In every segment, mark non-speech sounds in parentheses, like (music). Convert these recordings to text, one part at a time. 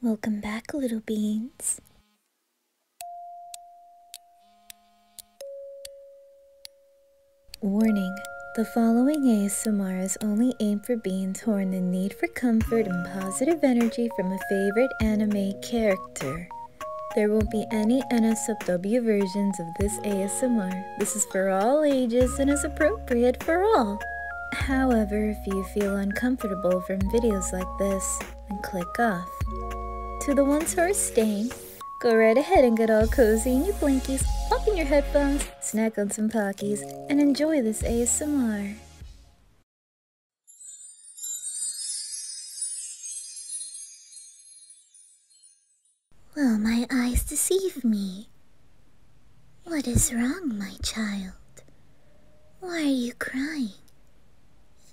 Welcome back, little beans. Warning The following ASMR is only aim for beans who are in need for comfort and positive energy from a favorite anime character. There will not be any NSFW versions of this ASMR this is for all ages and is appropriate for all. However, if you feel uncomfortable from videos like this, then click off. To the ones who are staying, go right ahead and get all cozy in your blankies, pop in your headphones, snack on some Pockies, and enjoy this ASMR. Will my eyes deceive me? What is wrong, my child? Why are you crying?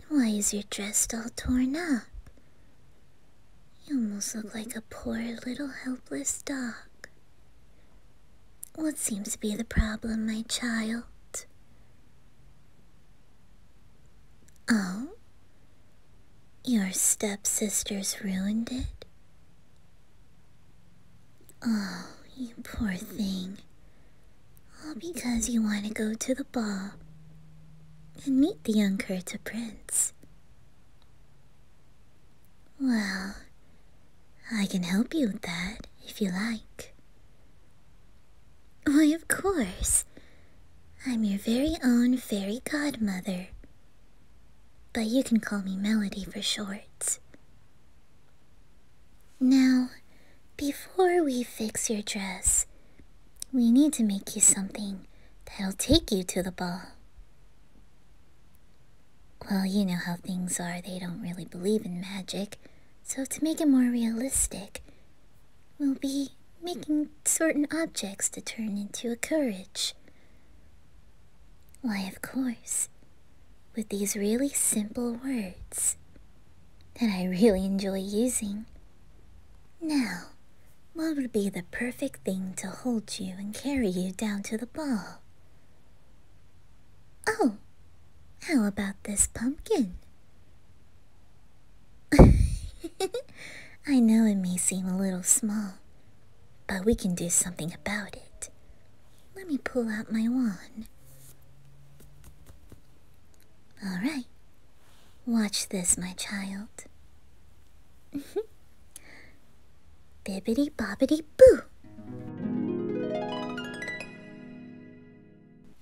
Why is your dress all torn up? You almost look like a poor little helpless dog. What seems to be the problem, my child? Oh? Your stepsisters ruined it? Oh, you poor thing. All because you want to go to the ball and meet the young Kurta prince. Well, I can help you with that if you like. Why, of course. I'm your very own fairy godmother, but you can call me Melody for short. Now, before we fix your dress, we need to make you something that'll take you to the ball. Well, you know how things are, they don't really believe in magic. So, to make it more realistic, we'll be making certain objects to turn into a courage why, of course, with these really simple words that I really enjoy using. Now, what would be the perfect thing to hold you and carry you down to the ball? Oh, how about this pumpkin? (laughs) I know it may seem a little small, but we can do something about it. Let me pull out my wand. Alright. Watch this, my child. (laughs) Bibbity bobbity boo!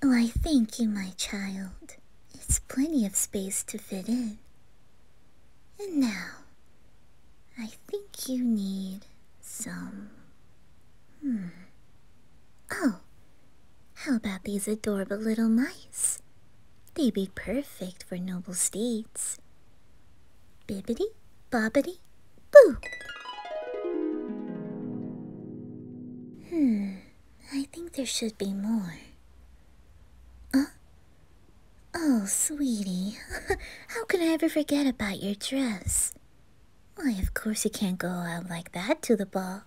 Why, oh, thank you, my child. It's plenty of space to fit in. And now, I think you need some. Hmm. Oh, how about these adorable little mice? They'd be perfect for noble steeds. Bibbity, bobbity, boo! Hmm, I think there should be more. Huh? Oh, sweetie, (laughs) how can I ever forget about your dress? Why, of course you can't go out like that to the ball.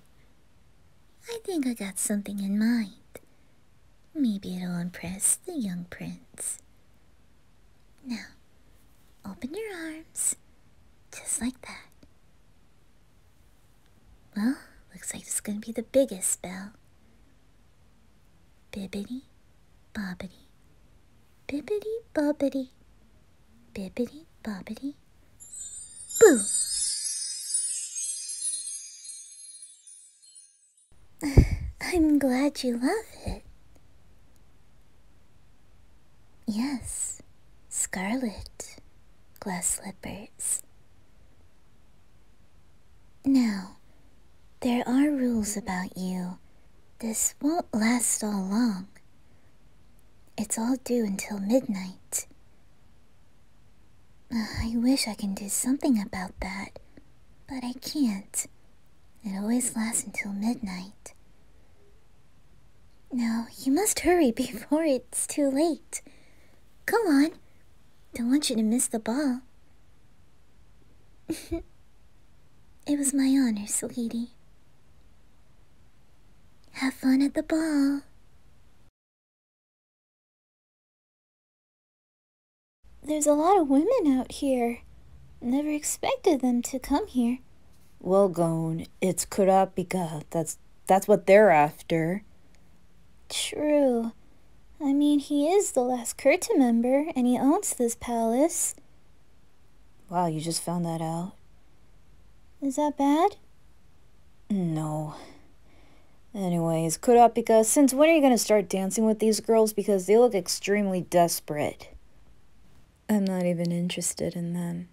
I think I got something in mind. Maybe it'll impress the young prince. Now, open your arms, just like that. Well, looks like it's gonna be the biggest spell. Bibbity bobbity, bibbity bobbity, bibbity bobbity, boo! (laughs) I'm glad you love it. Yes, scarlet glass slippers. Now, there are rules about you. This won't last all long. It's all due until midnight. Uh, I wish I can do something about that, but I can't. It always lasts until midnight. Now, you must hurry (laughs) before it's too late. Go on. Don't want you to miss the ball. (laughs) it was my honor, sweetie. Have fun at the ball. There's a lot of women out here. Never expected them to come here. Well, Gone, it's Kurapika. That's that's what they're after. True. I mean, he is the last Curtain member, and he owns this palace. Wow, you just found that out. Is that bad? No. Anyways, Kurapika, since when are you gonna start dancing with these girls? Because they look extremely desperate. I'm not even interested in them.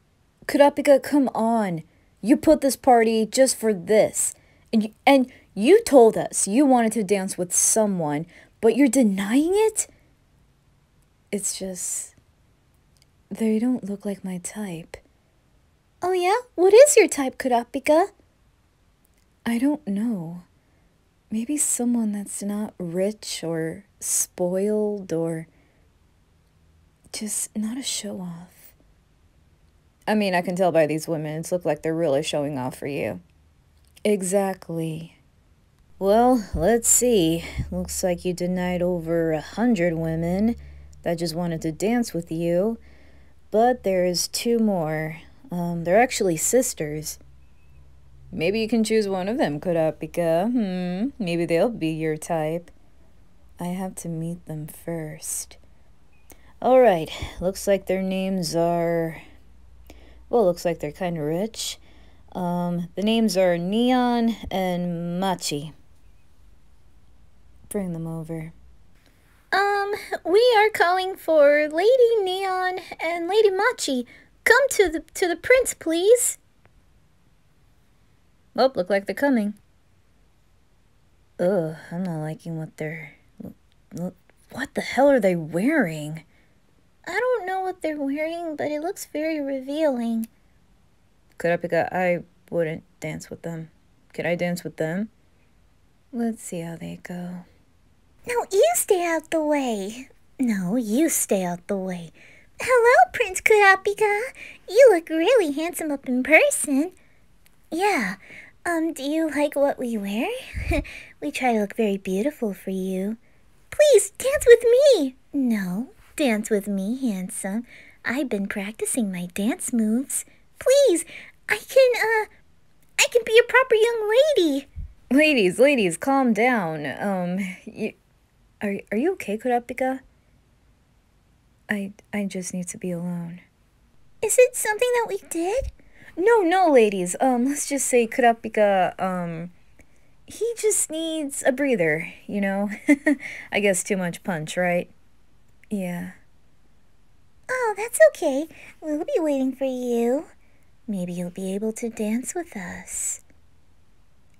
Kurapika, come on! You put this party just for this. And you, and you told us you wanted to dance with someone, but you're denying it? It's just. They don't look like my type. Oh, yeah? What is your type, Kurapika? I don't know. Maybe someone that's not rich or spoiled or just not a show off. I mean, I can tell by these women, it's look like they're really showing off for you. Exactly. Well, let's see. Looks like you denied over a hundred women that just wanted to dance with you. But there's two more. Um, they're actually sisters. Maybe you can choose one of them, Kurapika. Hmm, maybe they'll be your type. I have to meet them first. Alright, looks like their names are... Well, looks like they're kind of rich. Um, the names are Neon and Machi. Bring them over. Um, we are calling for Lady Neon and Lady Machi. Come to the to the prince, please. Oh, look like they're coming. Ugh, I'm not liking what they're. What the hell are they wearing? I don't know what they're wearing, but it looks very revealing. Kurapika, I wouldn't dance with them. Can I dance with them? Let's see how they go. Now you stay out the way. No, you stay out the way. Hello, Prince Kurapika. You look really handsome up in person. Yeah. Um, do you like what we wear? (laughs) we try to look very beautiful for you. Please, dance with me! No, dance with me, handsome. I've been practicing my dance moves. Please, I can, uh, I can be a proper young lady. Ladies, ladies, calm down. Um, you, are, are you okay, Kurapika? I, I just need to be alone. Is it something that we did? No, no, ladies. Um, let's just say Kurapika, um, he just needs a breather, you know? (laughs) I guess too much punch, right? Yeah. Oh, that's okay. We'll be waiting for you. Maybe you'll be able to dance with us.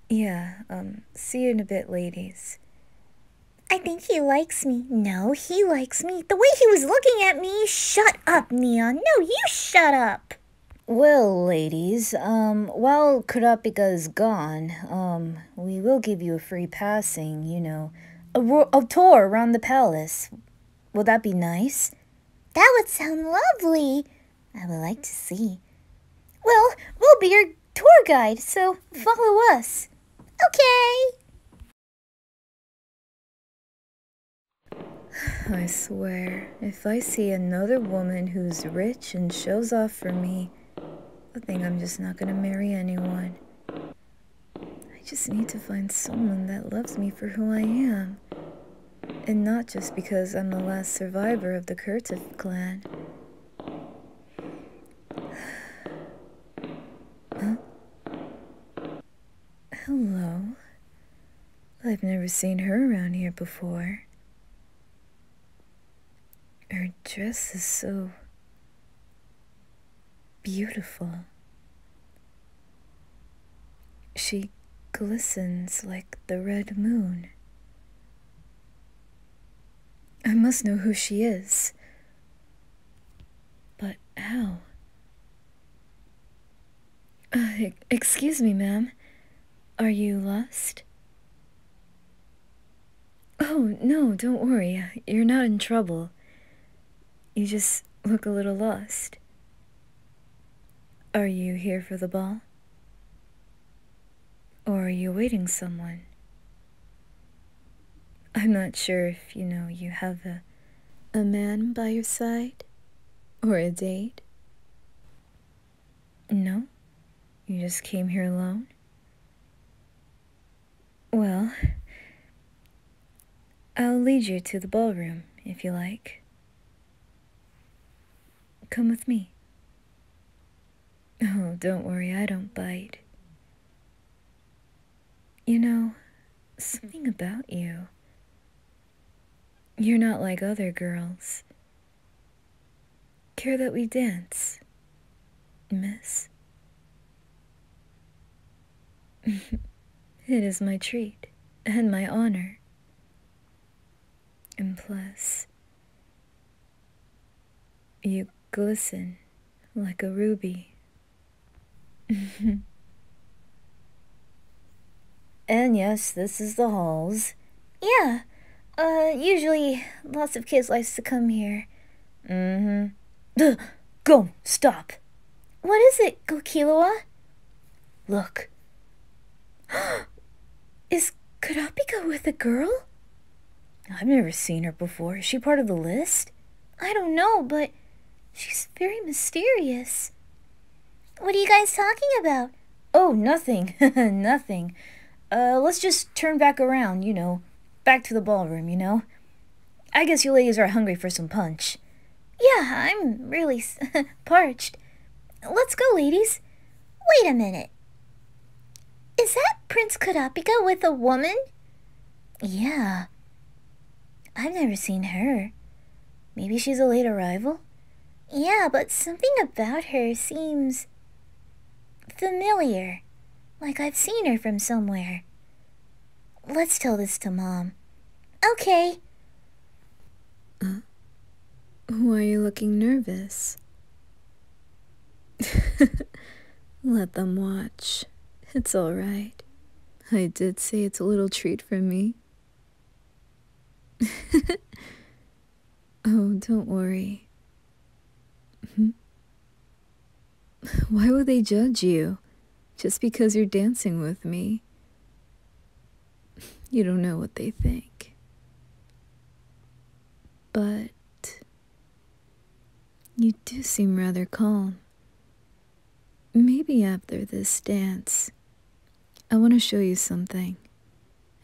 Yeah, um, see you in a bit, ladies. I think he likes me. No, he likes me. The way he was looking at me. Shut up, Neon. No, you shut up. Well, ladies, um, while kurapika is gone, um, we will give you a free passing, you know, a, a tour around the palace. Will that be nice? That would sound lovely. I would like to see. Well, we'll be your tour guide, so follow us. Okay! (sighs) I swear, if I see another woman who's rich and shows off for me, I think I'm just not gonna marry anyone. I just need to find someone that loves me for who I am. And not just because I'm the last survivor of the Kurtov clan. Huh? Hello. I've never seen her around here before. Her dress is so beautiful. She glistens like the red moon. I must know who she is. But how? Uh, excuse me, ma'am. Are you lost? Oh, no, don't worry. You're not in trouble. You just look a little lost. Are you here for the ball? Or are you waiting someone? I'm not sure if you know you have a, a man by your side or a date. No? You just came here alone? Well, I'll lead you to the ballroom if you like. Come with me. Oh, don't worry, I don't bite. You know, something about you. You're not like other girls. Care that we dance, miss? (laughs) it is my treat and my honor. And plus, you glisten like a ruby. (laughs) and yes, this is the halls. Yeah. Uh, usually lots of kids likes to come here. Mm-hmm. (gasps) Go, stop. What is it, Go Gokilawa? Look, (gasps) Is Kurapika with a girl? I've never seen her before. Is she part of the list? I don't know, but she's very mysterious. What are you guys talking about? Oh, nothing. (laughs) nothing. Uh, let's just turn back around, you know. Back to the ballroom, you know. I guess you ladies are hungry for some punch. Yeah, I'm really (laughs) parched. Let's go, ladies. Wait a minute. Is that Prince Kurapika with a woman? Yeah. I've never seen her. Maybe she's a late arrival? Yeah, but something about her seems familiar. Like I've seen her from somewhere. Let's tell this to Mom. Okay. Uh, why are you looking nervous? (laughs) Let them watch. It's all right. I did say it's a little treat for me. (laughs) oh, don't worry. (laughs) Why would they judge you? Just because you're dancing with me. You don't know what they think. But you do seem rather calm. Maybe after this dance, I want to show you something,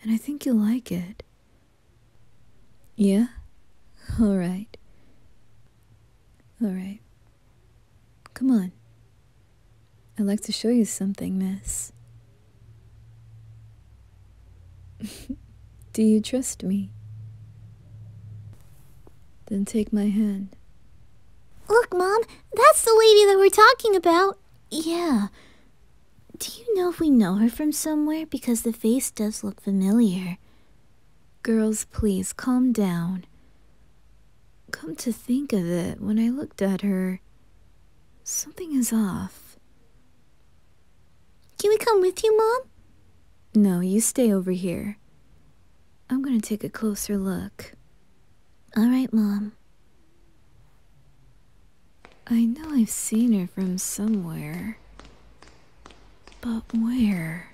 and I think you'll like it. Yeah? All right. All right. Come on. I'd like to show you something, miss. (laughs) Do you trust me? Then take my hand. Look, Mom, that's the lady that we're talking about. Yeah. Do you know if we know her from somewhere? Because the face does look familiar. Girls, please calm down. Come to think of it, when I looked at her, something is off. Can we come with you, Mom? No, you stay over here. I'm gonna take a closer look. Alright, Mom. I know I've seen her from somewhere. But where?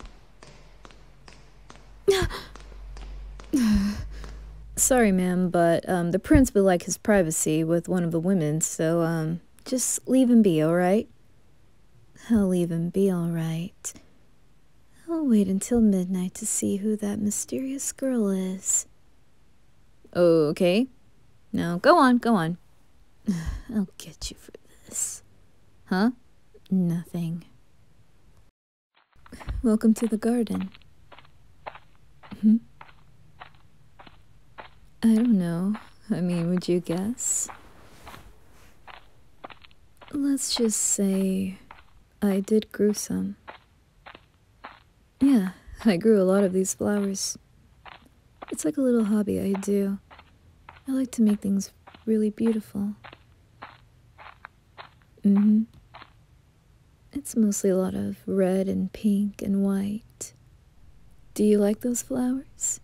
(sighs) Sorry, ma'am, but um, the prince would like his privacy with one of the women, so um, just leave him be, alright? I'll leave him be, alright. I'll wait until midnight to see who that mysterious girl is. Okay. now go on, go on. (sighs) I'll get you for this. Huh? Nothing. Welcome to the garden. Hmm? I don't know. I mean, would you guess? Let's just say I did grow some. Yeah, I grew a lot of these flowers. It's like a little hobby I do. I like to make things really beautiful. hmm it's mostly a lot of red and pink and white. Do you like those flowers?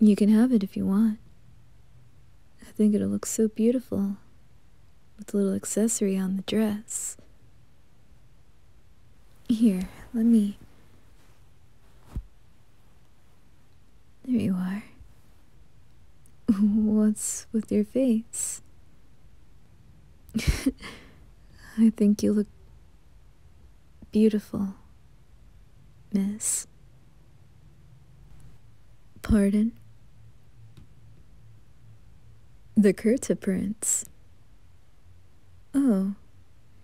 You can have it if you want. I think it'll look so beautiful with a little accessory on the dress. Here, let me. There you are. What's with your face? (laughs) I think you look beautiful, miss. Pardon? The Kurta Prince. Oh,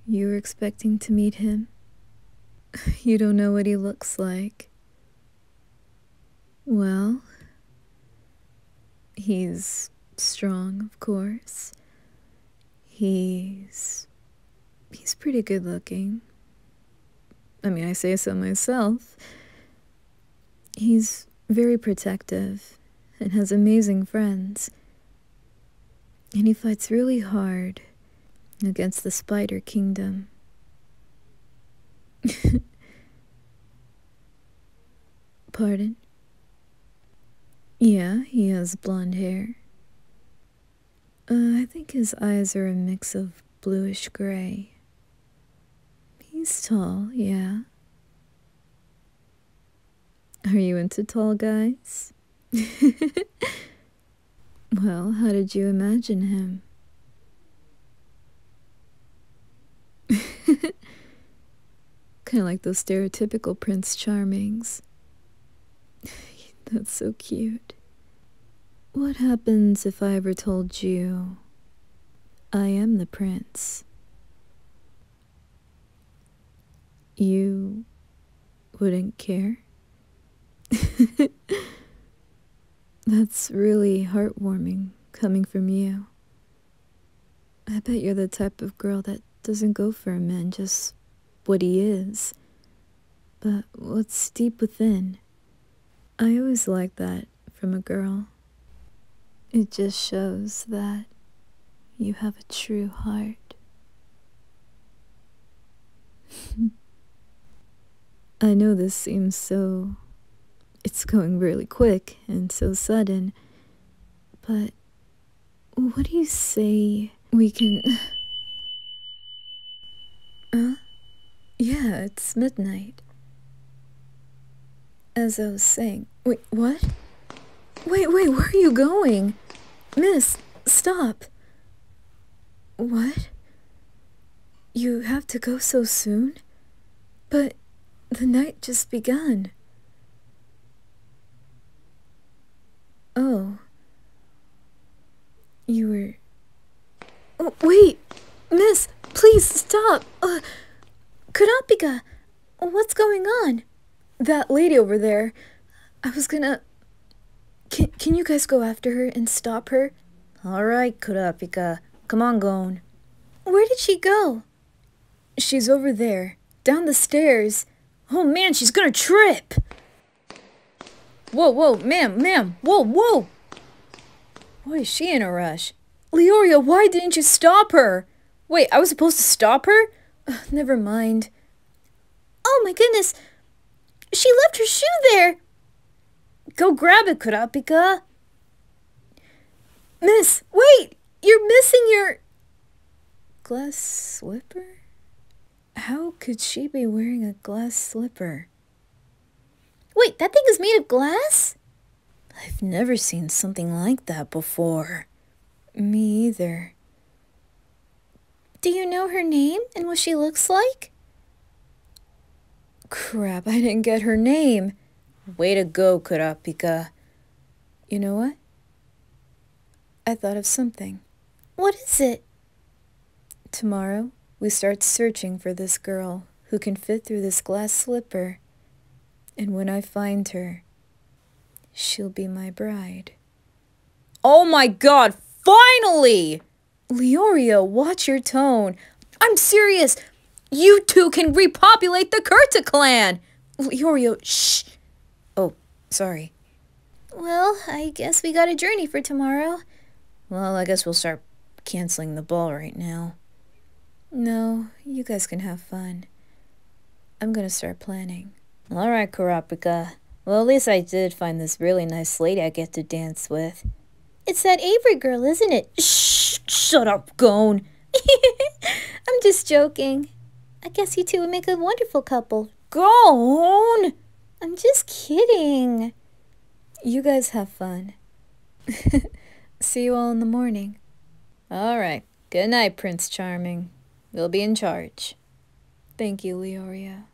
you were expecting to meet him? (laughs) You don't know what he looks like. Well, he's strong, of course. He's. he's pretty good looking. I mean, I say so myself. He's very protective and has amazing friends. And he fights really hard against the Spider Kingdom. (laughs) Pardon? Yeah, he has blonde hair. Uh, I think his eyes are a mix of bluish gray. He's tall, yeah. Are you into tall guys? (laughs) Well, how did you imagine him? (laughs) kind of like those stereotypical Prince Charmings. (laughs) That's so cute. What happens if I ever told you I am the prince? You wouldn't care? (laughs) That's really heartwarming coming from you. I bet you're the type of girl that doesn't go for a man just what he is, but what's deep within. I always like that from a girl. It just shows that you have a true heart. (laughs) I know this seems so. It's going really quick and so sudden, but what do you say we can. (laughs) huh? Yeah, it's midnight. As I was saying. Wait, what? Wait, wait, where are you going? Miss, stop. What? You have to go so soon? But the night just begun. Oh. You were. Oh, wait! Miss, please stop! Uh, Kurapika! What's going on? That lady over there. I was gonna. Can, can you guys go after her and stop her? Alright, Kurapika. Come on, Gon. Where did she go? She's over there. Down the stairs. Oh man, she's gonna trip! Whoa, whoa, ma'am, ma'am, whoa, whoa! Why is she in a rush? Leoria, why didn't you stop her? Wait, I was supposed to stop her? never mind. Oh my goodness! She left her shoe there! Go grab it, Kurapika. Miss, wait! You're missing your... Glass slipper? How could she be wearing a glass slipper? Wait, that thing is made of glass? I've never seen something like that before. Me either. Do you know her name and what she looks like? Crap, I didn't get her name. Way to go, Kurapika. You know what? I thought of something. What is it? Tomorrow, we start searching for this girl who can fit through this glass slipper. And when I find her, she'll be my bride. Oh my god, finally! Leorio, watch your tone. I'm serious! You two can repopulate the Kurta clan! Leorio, shh! Oh, sorry. Well, I guess we got a journey for tomorrow. Well, I guess we'll start canceling the ball right now. No, you guys can have fun. I'm gonna start planning. Alright, Kurapika well, at least I did find this really nice lady I get to dance with. It's that Avery girl, isn't it? Shh, shut up, Gone. (laughs) I'm just joking. I guess you two would make a wonderful couple. Gone! I'm just kidding. You guys have fun. (laughs) See you all in the morning. All right. Good night, Prince Charming. We'll be in charge. Thank you, Leoria.